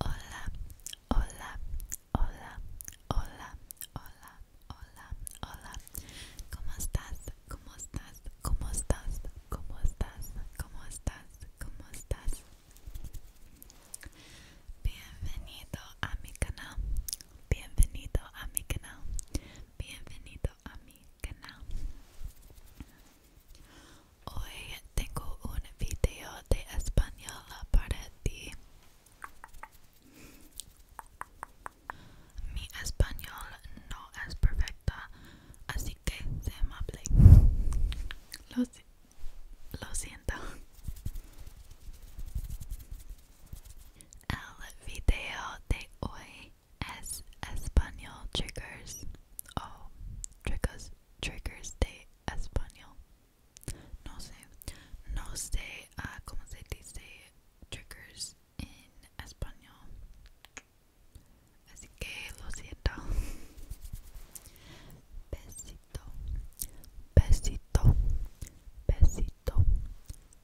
Hola, hola, hola, hola, hola, hola, hola. ¿Cómo estás? ¿Cómo estás? ¿Cómo estás? ¿Cómo estás? ¿Cómo estás? ¿Cómo estás? Bienvenido a mi canal. Bienvenido a mi canal. Bienvenido a mi canal. Hoy tengo un video de español para ti. Mi español no es perfecta, así que se me Lo, lo siento. El video de hoy as Espanol triggers. Oh, triggers, triggers de Espanol. No sé, no sé uh, cómo se dice triggers en español. Así que lo siento. Besito, besito, besito,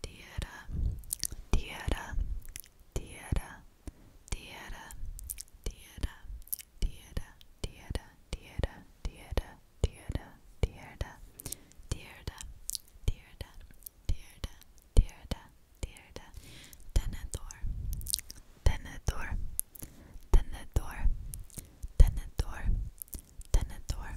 Tierra, tierra, tierra, tierra, tierra, tierra, tierra, tierra, tierra, tierra, tierra, tierra, tierra, tierra, tierra, tierra, tenedor, tenedor, tenedor, tenedor, tenedor,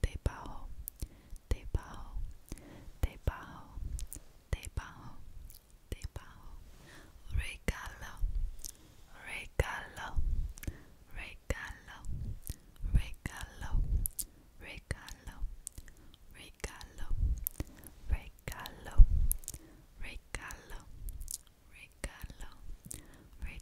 Te pago, te pago, te pago, te pago, te pago. Regalo, regalo, regalo, regalo, regalo, regalo, regalo, regalo, regalo, regalo.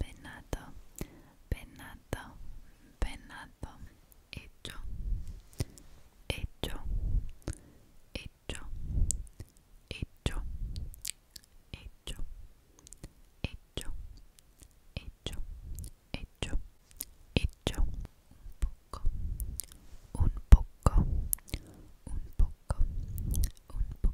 venado, venado, penato. Hecho, hecho, hecho, hecho, hecho, hecho, hecho, hecho, hecho. Un poco, un poco, un poco, un poco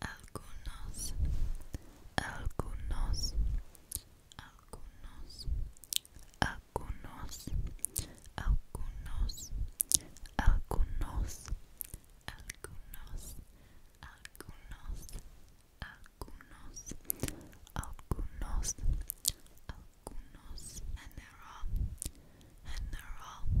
algunos, algunos, algunos, algunos, algunos, algunos, algunos, algunos, algunos, algunos, algunos, general, general,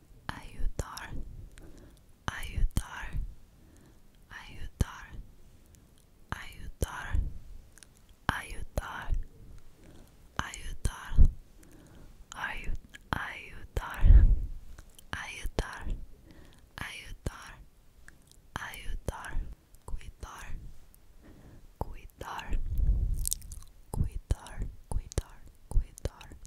ayudar ayudar ayudar ayudar ayudar ayudar ayud ayudar ayudar ayudar ayudar cuidar cuidar cuidar cuidar cuidar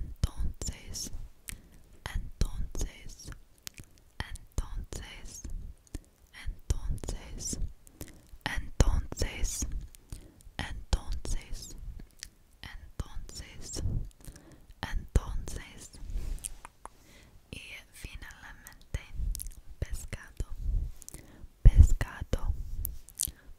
Entonces, entonces, entonces, entonces, entonces, entonces, entonces, entonces, y finalmente pescado, pescado,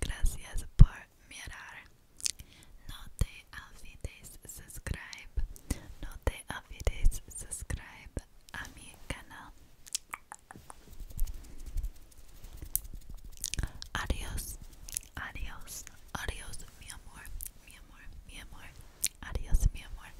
Gracias por mirar. No te olvides subscribe. No te olvides subscribe a mi canal. Adiós. Adiós. Adiós, mi amor. Mi amor, mi amor. Adiós, mi amor.